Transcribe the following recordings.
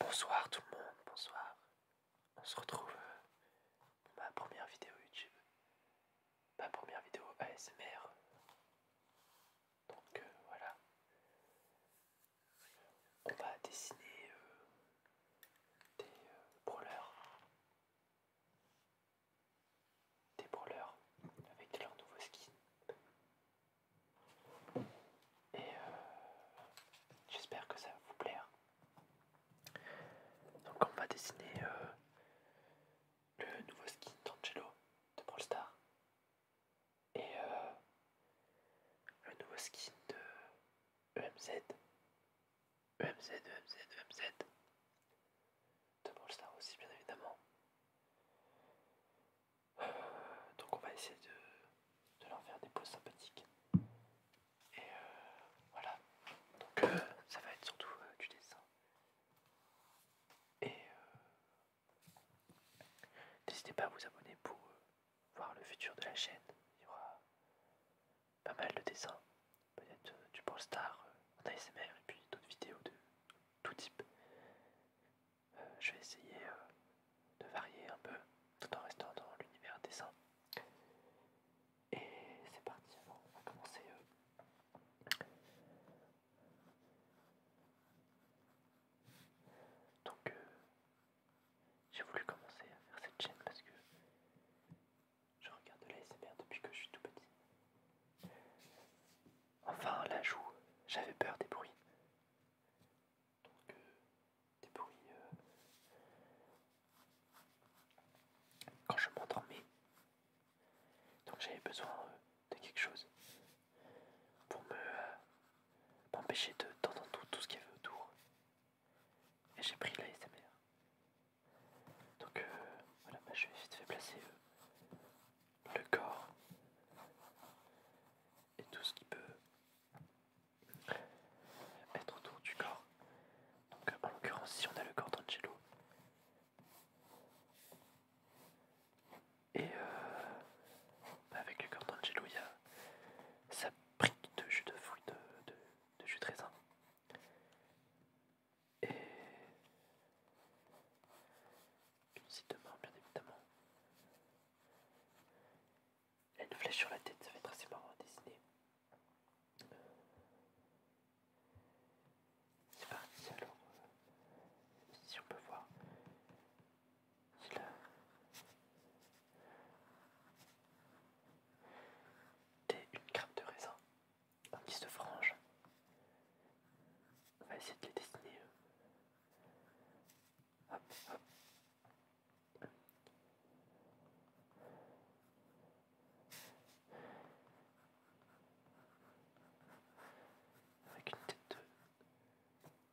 Bonsoir tout le monde, bonsoir. On se retrouve pour euh, ma première vidéo YouTube. Ma première vidéo ASMR. Donc euh, voilà. On va dessiner euh, des brawlers. Des brawlers avec leur nouveau nouveaux et euh, j'espère que ça va vous plaire. Donc on va dessiner euh, le nouveau skin d'Angelo de Brawl Star. Et euh, le nouveau skin de EMZ. EMZ, EMZ, EMZ. De Brawl Star aussi bien évidemment donc on va essayer de, leur faire des poses sympathiques. Et euh, voilà. Donc euh, ça va être surtout euh, du dessin. Et n'hésitez pas à vous abonner pour voir le futur de la chaîne. Il y aura pas mal de dessins. Peut-être du Polestar Star ASMR et puis d'autres vidéos de tout type je vais essayer euh, de varier un peu tout en restant dans l'univers dessin. Et c'est parti, on va commencer. Euh. Donc euh, j'ai voulu commencer à faire cette chaîne parce que je regarde de l'ASMR depuis que je suis tout petit. Enfin, la joue, j'avais peur des bruits. Donc, euh, des bruits. Euh, quand je m'endormais. Donc, j'avais besoin euh, de quelque chose pour me. m'empêcher de, tout, tout ce qu'il y avait autour. Et j'ai pris la SMR. Donc, voilà, bah, je vais vite fait placer le corps et tout ce qui peut être autour du corps. Donc en l'occurrence si on a le corps d'Angelo et euh, bah, avec le corps d'Angelo il y a sa brique de jus de fruits de, de jus de raisin et de demain, bien évidemment. Et une flèche sur la tête, ça va être assez marrant à dessiner. Euh, c'est parti alors. Si on peut voir. C'est là. T'es une crème de raisin, un petit se frange. On va essayer de les dessiner euh, avec une tête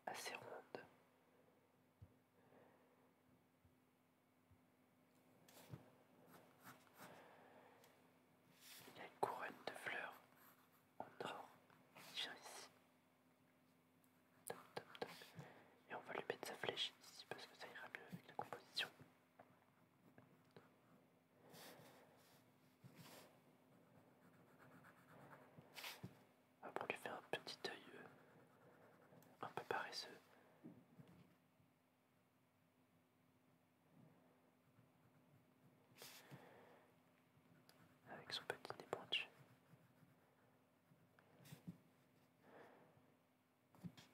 assez ronde. Il y a une couronne de fleurs on dort, Et on va lui mettre sa flèche ici parce que ça ira mieux avec la composition. Après on lui fait un petit œil euh, un peu paresseux avec son petit nez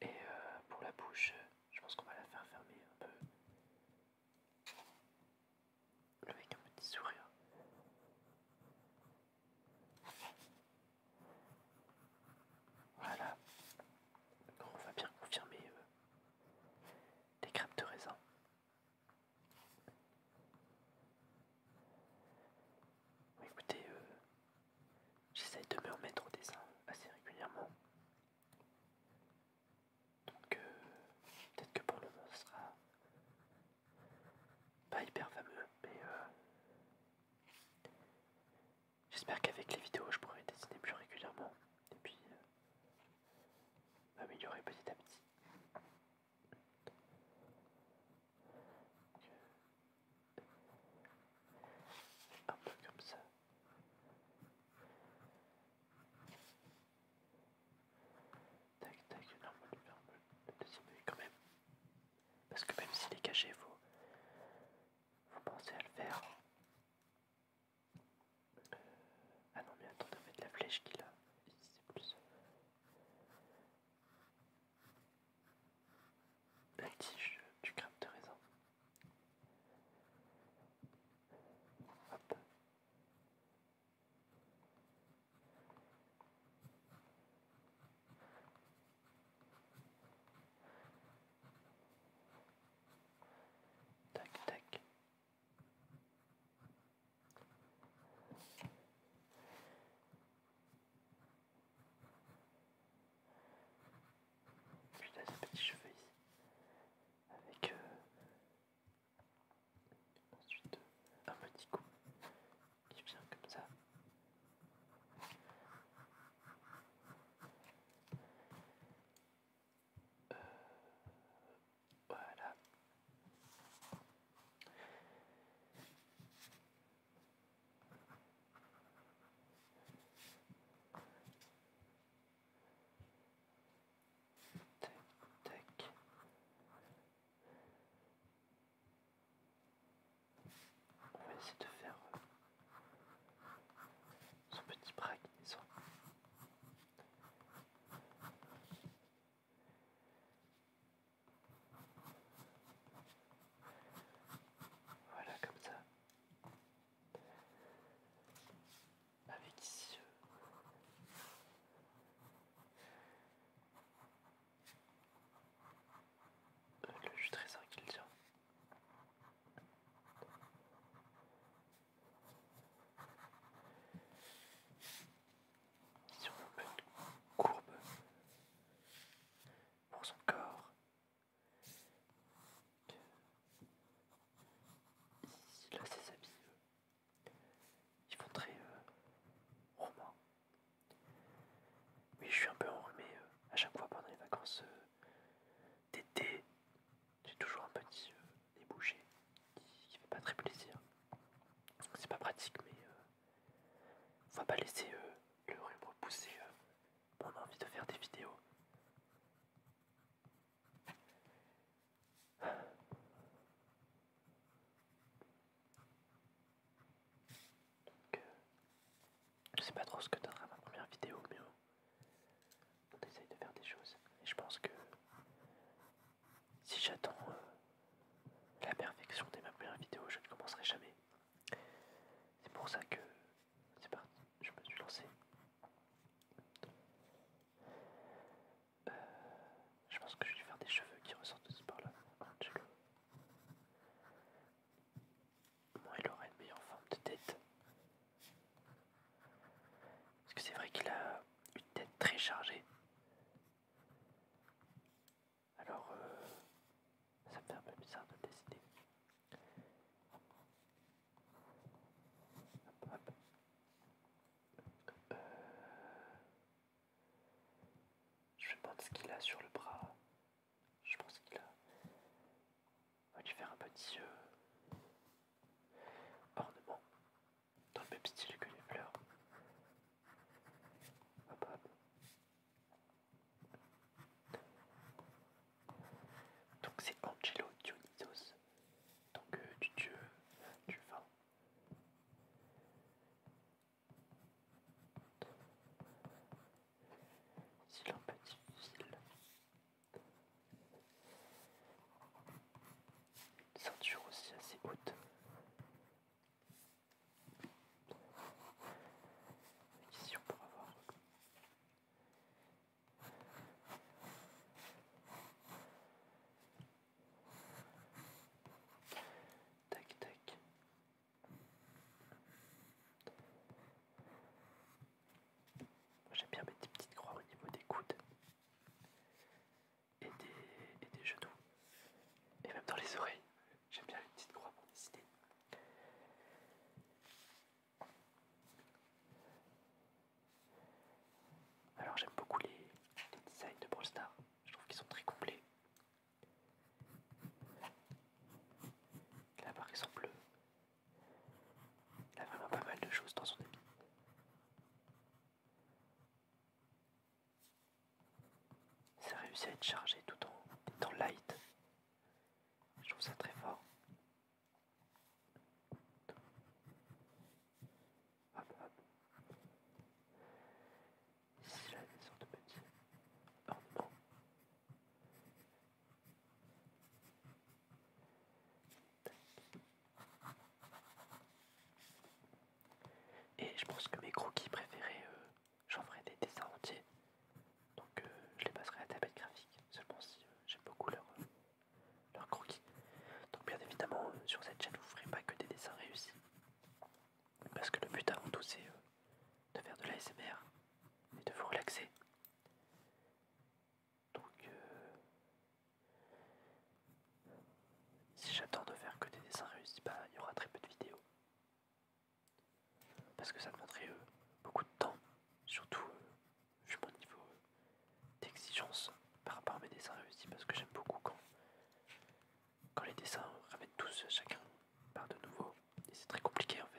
Et euh, pour la bouche, je pense qu'on va la faire fermer un peu avec un petit sourire. Voilà, on va bien confirmer des euh, les crêpes de raisin. Écoutez, euh, j'essaie de me remettre au dessin assez régulièrement. Donc, euh, peut-être que pour le moment, ce sera pas hyper fameux, mais euh, j'espère qu'avec les vidéos, je pourrai dessiner plus régulièrement. Et puis, améliorer petit à petit. Un peu comme ça. Tac, tac, non, on le deuxième quand même. Parce que même s'il est caché, faut, faut penser à le faire. Ah non mais attendez va mettre la flèche qui a c'est plus la tige du crème de raisin. Hop. Tac tac plus des petits cheveux ici. Avec euh, ensuite euh, un petit coup qui vient comme ça voilà. Tac, tac. On va essayer de faire son euh, petit braque, disons. Voilà comme ça. Avec ici euh, le jus trésor qu'il tient sur une courbe pour son corps, ici là ses habits, euh, ils font très euh, roman. Oui, je suis un peu enrhumé euh, à chaque fois pendant les vacances d'été j'ai toujours un petit euh, débouché qui fait pas très plaisir. C'est pas pratique, mais on euh, va pas laisser euh, le rhume repousser on a envie de faire des vidéos. Donc, je sais pas trop ce que donnera ma première vidéo, mais on essaye de faire des choses. Et je pense que si j'attends euh, la perfection dès ma première vidéo, je ne commencerai jamais. C'est pour ça que c'est parti, je me suis lancé. Euh, je pense que je vais faire des cheveux qui ressortent aussi par là. Moi, il aura une meilleure forme de tête. Parce que c'est vrai qu'il a une tête très chargée. Alors, euh, ça me fait un peu bizarre de décider. Euh, je me prendre ce qu'il a sur le bras. Je pense qu'il a. On va lui faire un petit euh, ornement dans le même style que les fleurs. Donc c'est Angelo Dionysos, donc euh, du dieu du vin. C'est un petit fil Ceinture aussi assez haute. ici on Tac tac. J'aime bien mettre des petites croix au niveau des coudes et des, genoux, et même dans les oreilles. J'aime bien les petites croix pour décider. Alors j'aime beaucoup les, designs de Brawl Stars, je trouve qu'ils sont très complets. Là par exemple, il a vraiment pas mal de choses dans son habit. Ça réussit à être chargé tout en étant light. Je trouve ça très fort. Ici, là, des sortes de petits ornements. Et je pense que mes croquis préférés, euh, j'en ferai des dessins entiers. Donc euh, je les passerai à la tablette graphique, seulement si euh, j'aime beaucoup leurs croquis. Donc bien évidemment, sur cette chaîne, vous ferez pas que des dessins réussis. Parce que le but avant tout, c'est de faire de l'ASMR et de vous relaxer. Donc, euh, si j'attends de faire que des dessins réussis, bah, il y aura très peu de vidéos. Parce que ça demanderait euh, beaucoup de temps, surtout euh, vu mon niveau d'exigence par rapport à mes dessins réussis, parce que j'aime beaucoup quand, quand les dessins ramènent tous chacun par de nouveau, et c'est très compliqué en fait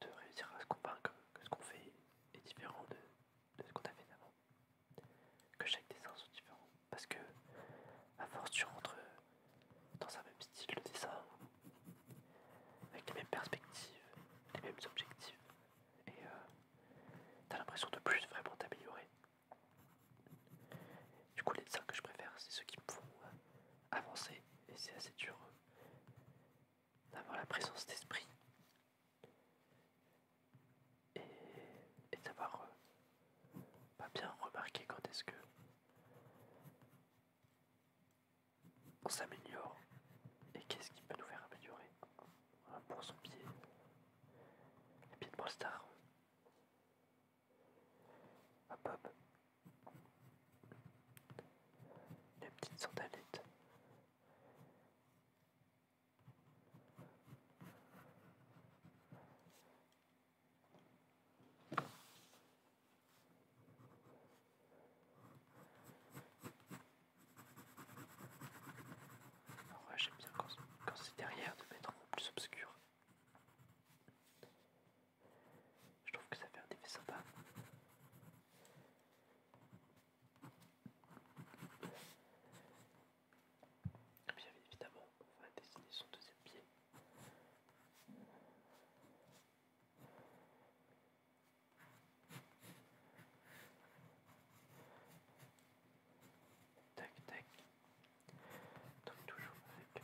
de réussir à se convaincre que ce qu'on fait est différent de, ce qu'on a fait avant. Que chaque dessin soit différent. Parce que, à force, tu rentres dans un même style de dessin, avec les mêmes perspectives, les mêmes objectifs, et tu euh, t'as l'impression de plus vraiment t'améliorer. Du coup, les dessins que je préfère, c'est ceux qui me font euh, avancer, et c'est assez dur euh, d'avoir la présence d'esprit et, d'avoir euh, pas bien remarqué quand est-ce que on s'améliore et qu'est-ce qui peut nous faire améliorer pour son pied les pieds de mon Star un pop les petites sandalettes j'aime bien quand, c'est derrière de mettre peu plus obscur. Je trouve que ça fait un effet sympa. Ah, bien évidemment, on va dessiner son deuxième pied. Tac tac. Donc toujours avec le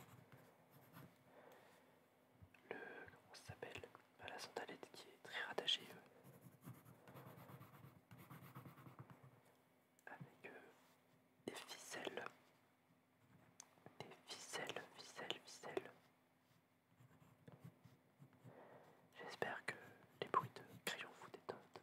comment ça s'appelle bah, la santalette qui est très rattachée euh, avec euh, des ficelles, des ficelles, ficelles, ficelles. J'espère que les bruits de crayon vous détendent.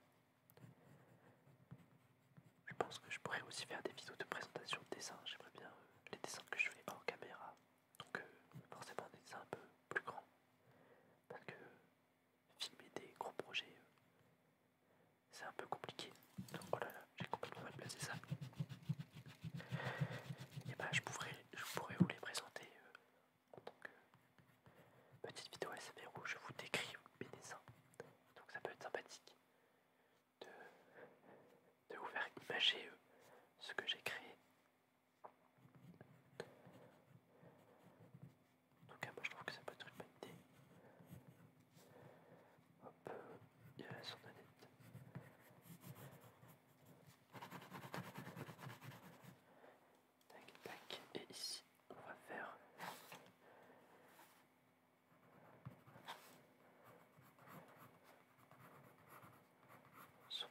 Je pense que je pourrais aussi faire des vidéos de présentation de dessins. J'aimerais bien euh, les dessins que je fais en caméra donc euh, forcément des dessins un peu plus grands. Parce que filmer des gros projets, euh, c'est un peu compliqué. donc voilà oh j'ai complètement mal placé ça. Et bah je pourrais, vous les présenter euh, en tant que petite vidéo SV où je vous décris mes dessins. Donc ça peut être sympathique de, vous faire imager ce que j'ai créé en tout cas, moi je trouve que ça peut être une bonne idée. Hop, il y a la Annette. Tac, tac, et ici on va faire. Son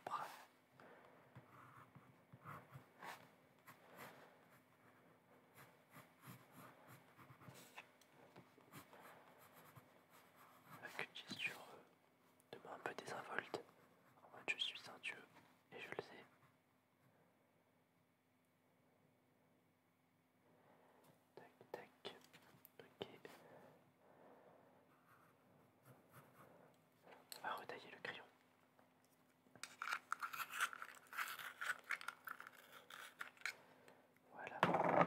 avec une de un peu désinvolte, en je suis un dieu et je le sais. On va retailler le crayon. Voilà.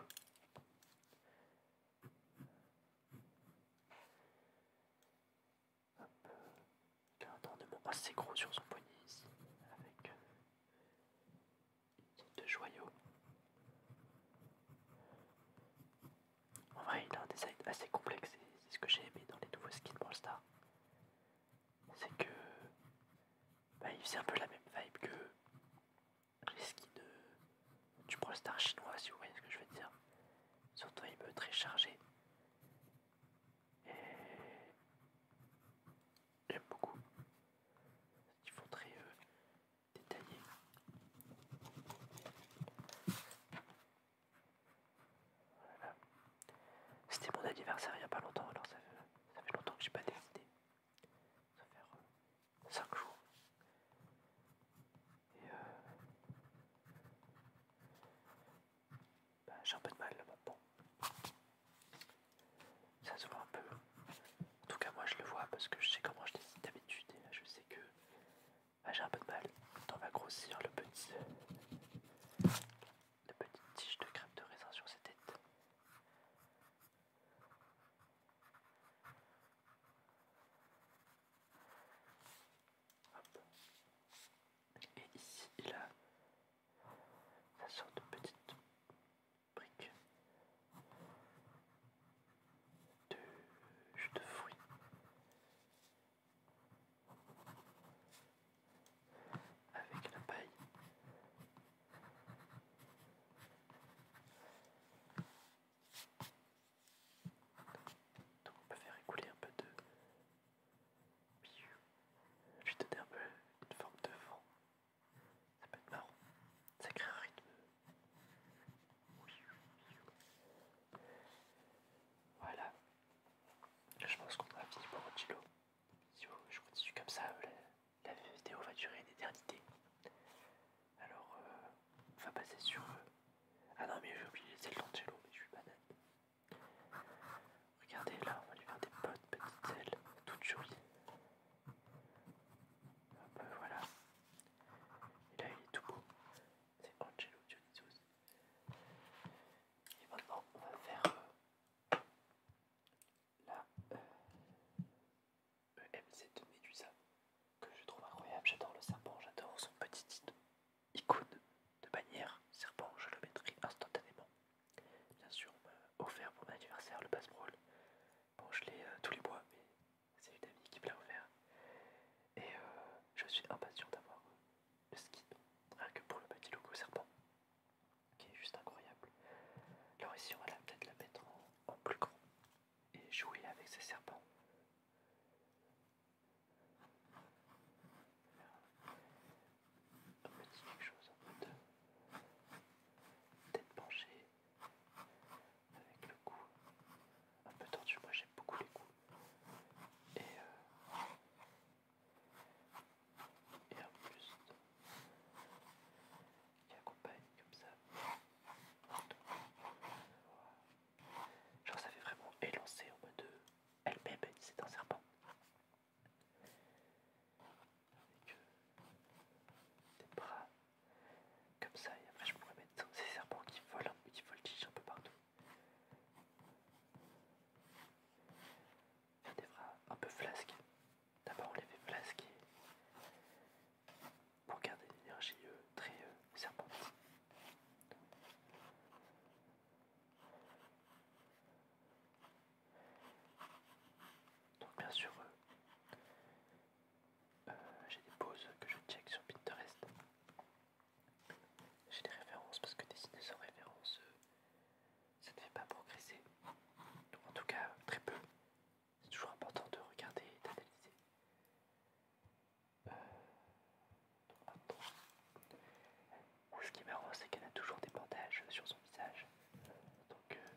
Il a un tendement assez gros sur son poignet ici, avec euh, une sorte de joyau. En vrai, il a un design assez complexe et c'est ce que j'ai aimé dans les nouveaux skins Brawl Stars. C'est que. Bah, il faisait un peu la même vibe que les skins du Brawl Stars chinois, si vous voyez ce que je veux dire. Surtout, il peut très chargé. Et. J'aime beaucoup. Ils font très euh, détaillé. C'était mon anniversaire il n'y a pas longtemps, alors ça fait, longtemps que j'ai pas décidé. Ça fait 5 euh, jours. Et euh, bah, j'ai un peu de mal là bon, Ça se voit un peu. En tout cas, moi je le vois parce que je sais comment je décide d'habitude là je sais que ah, j'ai un peu de mal. On va grossir le petit. La petite tige de crème de raisin sur ses tête. Et ici, il a la sorte de petite brique de jus de fruits. Avec la paille. Donc on peut faire écouler un peu de... jus vais donner un peu une forme de vent. Ça peut être marrant. Ça crée un rythme voilà. Je pense qu'on aura fini pour Angelo. Si je continue comme ça, la, vidéo va durer une éternité. Alors, euh, on va passer sur... eux. Ah non, mais j'ai oublié, les ailes d'Angelo, mais je suis banane. Regardez, là, on va lui faire des bonnes petites ailes, toutes jolies. Hop, euh, voilà. Et là, il est tout beau c'est Angelo Dionysos. Et maintenant, on va faire euh, la euh, e mz de Medusa, que je trouve incroyable. J'adore le serpent, j'adore son petit icône de bannière serpent, je le mettrai instantanément. Bien sûr, on m'a offert pour mon anniversaire le passe-brawl. Bon, je l'ai euh, tous les mois, mais c'est une amie qui me l'a offert. Et euh, je suis impatient d'avoir le skin, rien que pour le petit logo serpent, qui est juste incroyable. Alors ici on va peut-être la mettre en, plus grand et jouer avec ces serpents. Un petit quelque chose peu de tête penchée, avec le cou un peu tendu. Moi j'aime beaucoup les coups. Et, euh, et un buste qui accompagne comme ça. Genre ça fait vraiment élancé en mode euh, elle bébé, c'est un serpent. Avec euh, des bras comme ça et après je pourrais mettre ces serpents qui volent, qui voltigent un peu partout. ça des bras un peu flasqués. D'abord on les fait flasqués pour garder l'énergie euh, très euh, Donc bien sûr, euh, j'ai des pauses que je check sur Pinterest j'ai des références parce que dessiner sans référence, euh, ça ne fait pas progresser. en tout cas, très peu. C'est toujours important de regarder et d'analyser. Euh, ce qui est c'est qu'elle a toujours des bandages sur son visage. Donc, euh,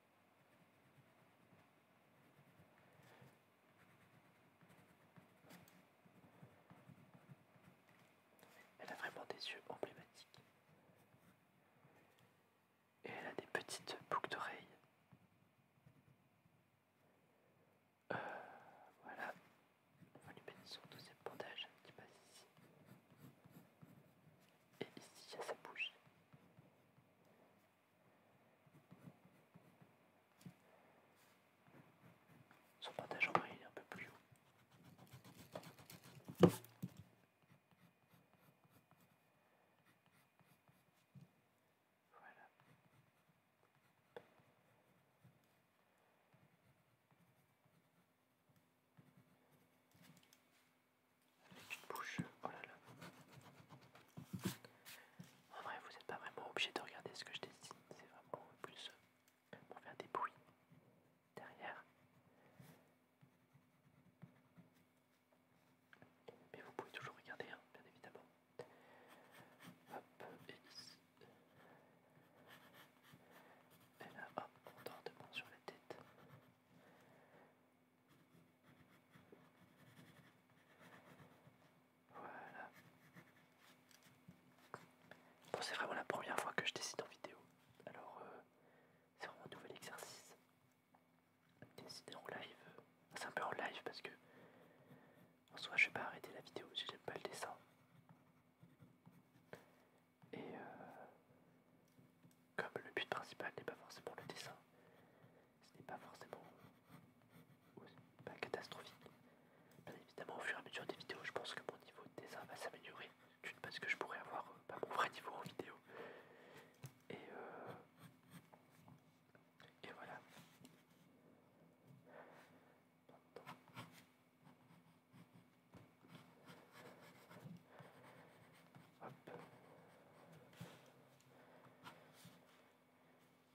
Elle a vraiment des yeux emblématiques. Et elle a des petites boucles d'oreilles. Euh, voilà. On lui met son deuxième bandage qui passe ici. Et ici, il y a sa bouche. Son partage en main il est un peu plus haut. Voilà avec une bouche. Oh En vrai, vous n'êtes pas vraiment obligé de regarder ce que je dessine, c'est vraiment plus euh, pour faire des bruits derrière. Mais vous pouvez toujours regarder, hein, bien évidemment. Hop, et ici. Et là, hop, on de main sur la tête. Voilà. Bon, c'est vraiment la première fois que je décide en vidéo. Alors, euh, c'est vraiment un nouvel exercice. Décider en live. c'est un peu en live parce que en soit je vais pas arrêter la vidéo si j'aime pas le dessin. Et euh, comme le but principal n'est pas forcément le dessin, ce n'est pas forcément pas catastrophique. Bien évidemment, au fur et à mesure des vidéos, je pense que mon niveau de dessin va s'améliorer. D'une parce que je pourrais avoir euh, bah, mon vrai niveau en vidéo. Et, euh, et voilà. Hop.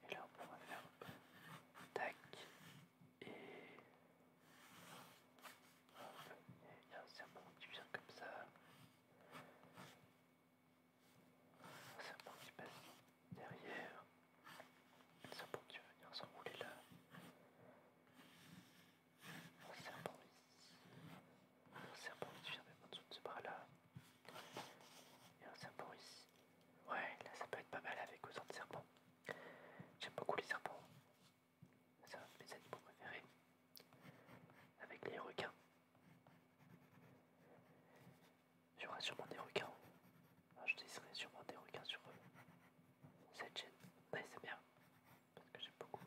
Et là, on pourra faire peu tac et il y a un serpent qui vient comme ça. Un serpent qui passe derrière. Un serpent qui va venir s'enrouler là. Un serpent ici un serpent qui vient en dessous de ce bras là. Et un serpent ici. Ouais, là ça peut être pas mal avec autant de serpents. J'aime beaucoup les serpents. C'est un de mes animaux préférés. Avec les requins. Il sûrement des requins. Ah, je dessinerai sûrement des requins sur euh, cette chaîne. Mais c'est bien. Parce que j'aime beaucoup.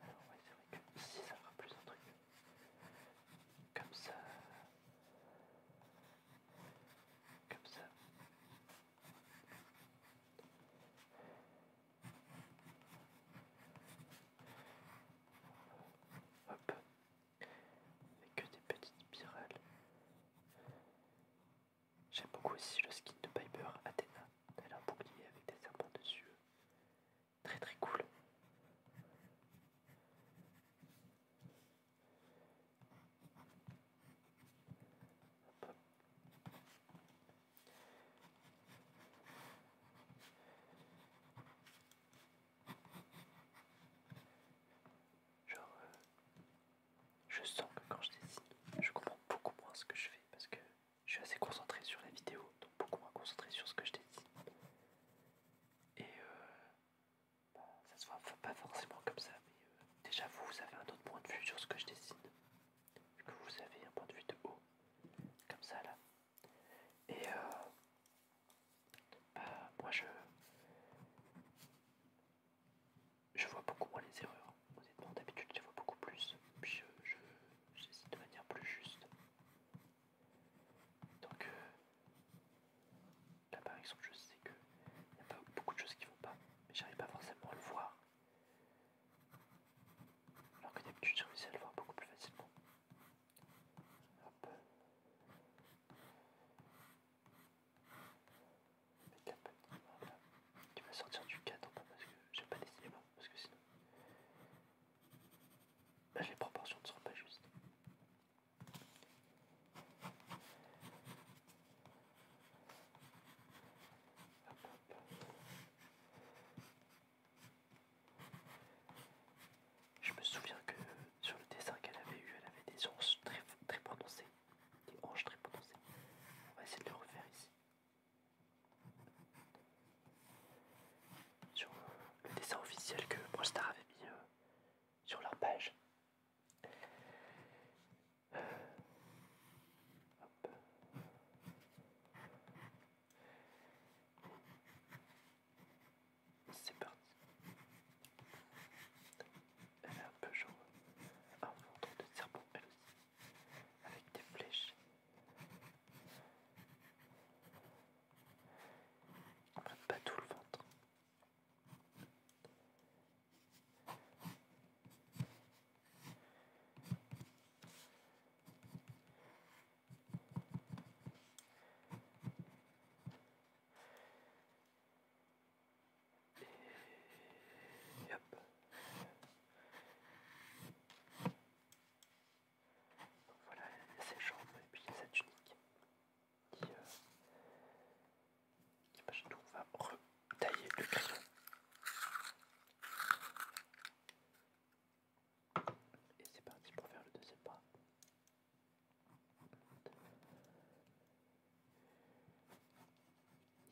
Alors oui, c'est vrai que ici ça fera plus un truc. Comme ça. Comme ça. Hop. avec que des petites spirales. J'aime beaucoup aussi le skin de Piper Athena. Elle a un bouclier avec des serpents dessus. Très très cool. Genre, euh, je sens que quand je dessine, je comprends beaucoup moins ce que je fais parce que je suis assez concentré sur la vidéo, donc beaucoup moins concentré sur ce que je dessine. Et euh, bah, ça se voit pas forcément comme ça, mais euh, déjà vous, vous avez un autre point de vue sur ce que je dessine, vu que vous avez un point de vue de haut, comme ça là. Et euh, bah, moi je, je vois beaucoup moins les erreurs d'habitude, je vois beaucoup plus. Puis je, je j'hésite de manière plus juste. Donc, euh, là par exemple, je sais qu'il y a pas beaucoup de choses qui vont pas, mais j'arrive pas forcément à le voir. Alors que d'habitude, je réussis à le voir beaucoup plus facilement. Tu vas sortir du cadre parce que je vais pas dessiner parce que bah, les proportions ne sont pas justes. Je me souviens que sur le dessin qu'elle avait eu, elle avait des hanches très, très Des très prononcées. On va essayer de le refaire ici sur le dessin officiel que Prostar avait mis euh, sur leur page. C'est parti. Elle est un peu jaune. Un fond de serpent elle aussi. Avec des flèches pas tout le ventre. Et voilà, il y ses jambes et puis il y a sa tunique qui, euh, bah, va retailler le crayon. Et c'est parti pour faire le deuxième pas.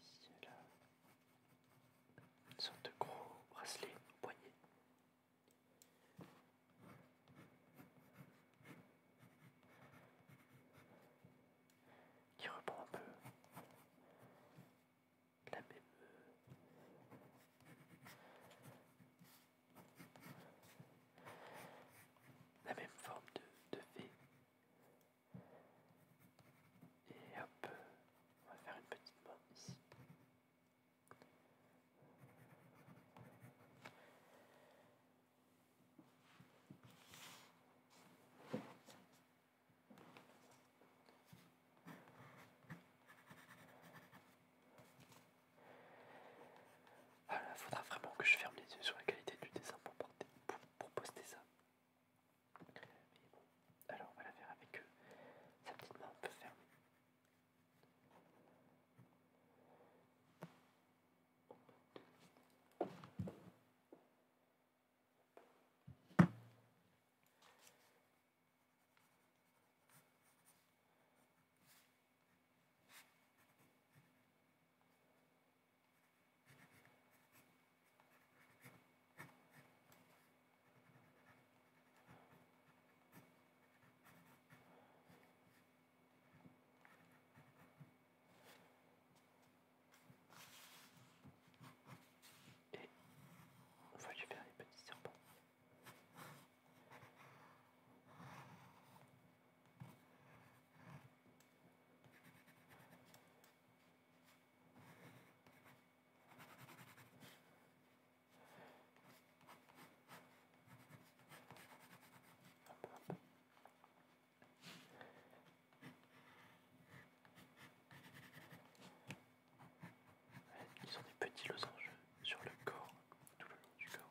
Ici, une sorte de gros bracelet poignet. Qui reprend un peu la même euh, la même forme de, de V et hop, on va faire une petite main ici. Il faudra vraiment que je ferme les yeux sur la qualité du dessin pour poster ça alors on va la faire avec eux. Sa petite main peut et on va lui faire des petits serpents. Ils sont des petits losanges sur le corps, tout le long du corps.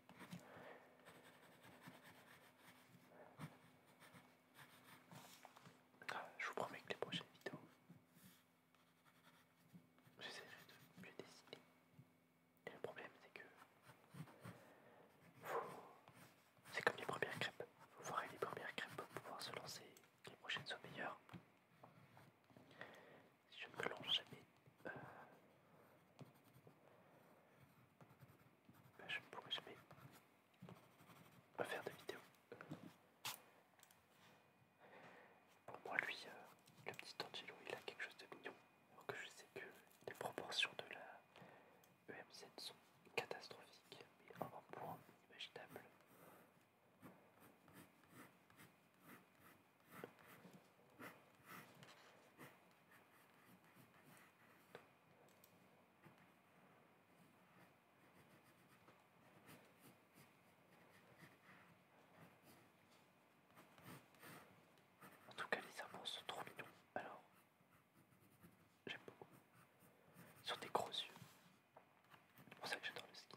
Je vous promets que les prochaines vidéos, j'essaierai de mieux dessiner. Et le problème, c'est que c'est comme les premières crêpes. Vous ferez les premières crêpes pour pouvoir se lancer. Les prochaines soient meilleures. Si je ne me lance jamais bah, je ne pourrais jamais faire de vidéo. Pour moi, lui, euh, le petit Angelo, il a quelque chose de mignon. Alors que je sais que les proportions de la EMZ sont catastrophiques, mais un point en tout cas, les amants sont trop mignons. Alors, j'aime beaucoup. Sur des gros yeux. C'est pour ça que j'adore le ski.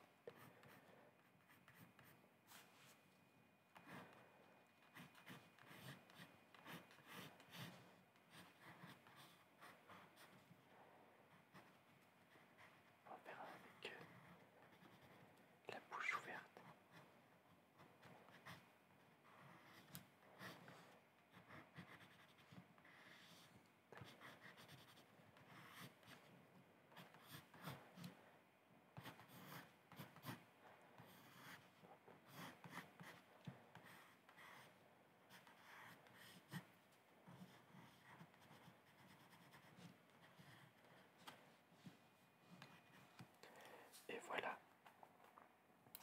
On va faire avec euh, la bouche ouverte. Et voilà,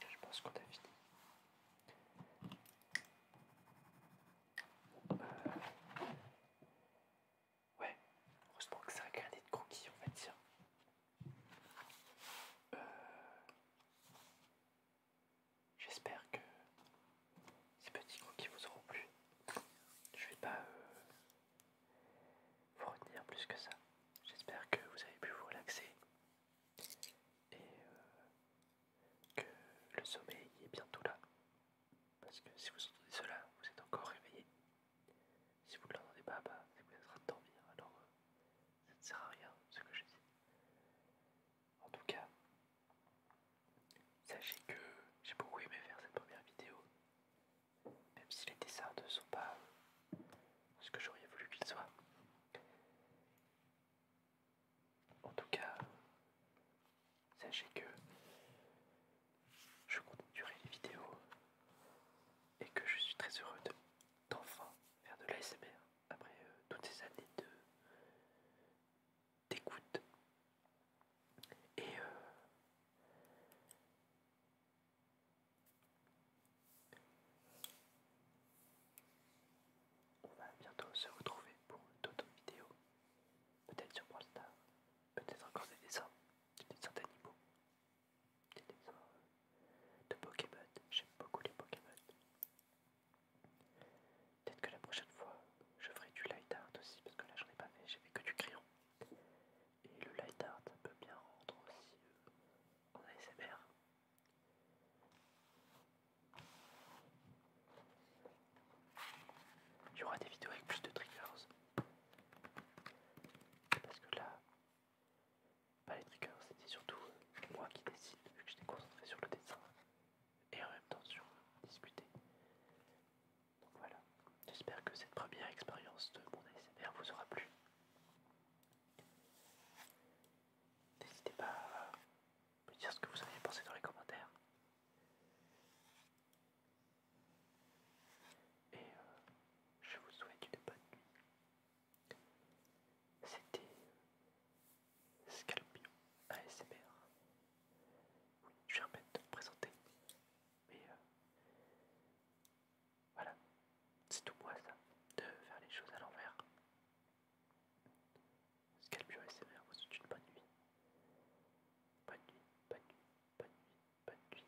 je pense qu'on a fini. Euh, Ouais, heureusement que c'est un gradé de croquis, on va dire. J'espère que ces petits croquis vous auront plu. Je vais pas euh, vous retenir plus que ça. J'espère que vous avez pu vous relaxer et euh, que le sommeil est bientôt là. Parce que si vous entendez cela, vous êtes encore réveillé. Si vous ne l'entendez pas, bah, c'est que vous de dormir, alors euh, ça ne sert à rien ce que je dis. En tout cas, sachez que j'ai beaucoup aimé faire cette première vidéo, même si les dessins ne sont pas euh, ce que j'aurais voulu qu'ils soient. En tout cas, sachez que je continuerai les vidéos et que je suis très heureux d'enfin faire de l'ASMR après euh, toutes ces années de d'écoute et euh, on va bientôt se retrouver pour d'autres vidéos peut-être sur Brawl peut-être encore des dessins des dessins d'animaux des de Pokémon. J'aime beaucoup les Pokémon. Peut-être que la prochaine fois, je ferai du light art aussi, parce que là j'en ai pas fait, j'ai fait que du crayon. Et le light art, peut bien rendre aussi euh, en ASMR. Il y aura des vidéos avec plus de triggers. Parce que là, pas les triggers, c'était surtout euh, moi qui décide, vu que j'étais concentré sur le dessin et en même temps sur discuter. Donc voilà, j'espère que cette première expérience de mon ASMR vous aura plu. N'hésitez pas à me dire ce que vous en avez pensé dans les commentaires. Et euh, je vous souhaite une bonne nuit. C'était Scalpion ASMR. Oui, je répète, de me présenter. Mais euh, voilà, c'est tout moi ça, de faire les choses à l'envers. Scalpion ASMR. vous souhaite une bonne nuit. Bonne nuit, bonne nuit, bonne nuit, bonne nuit,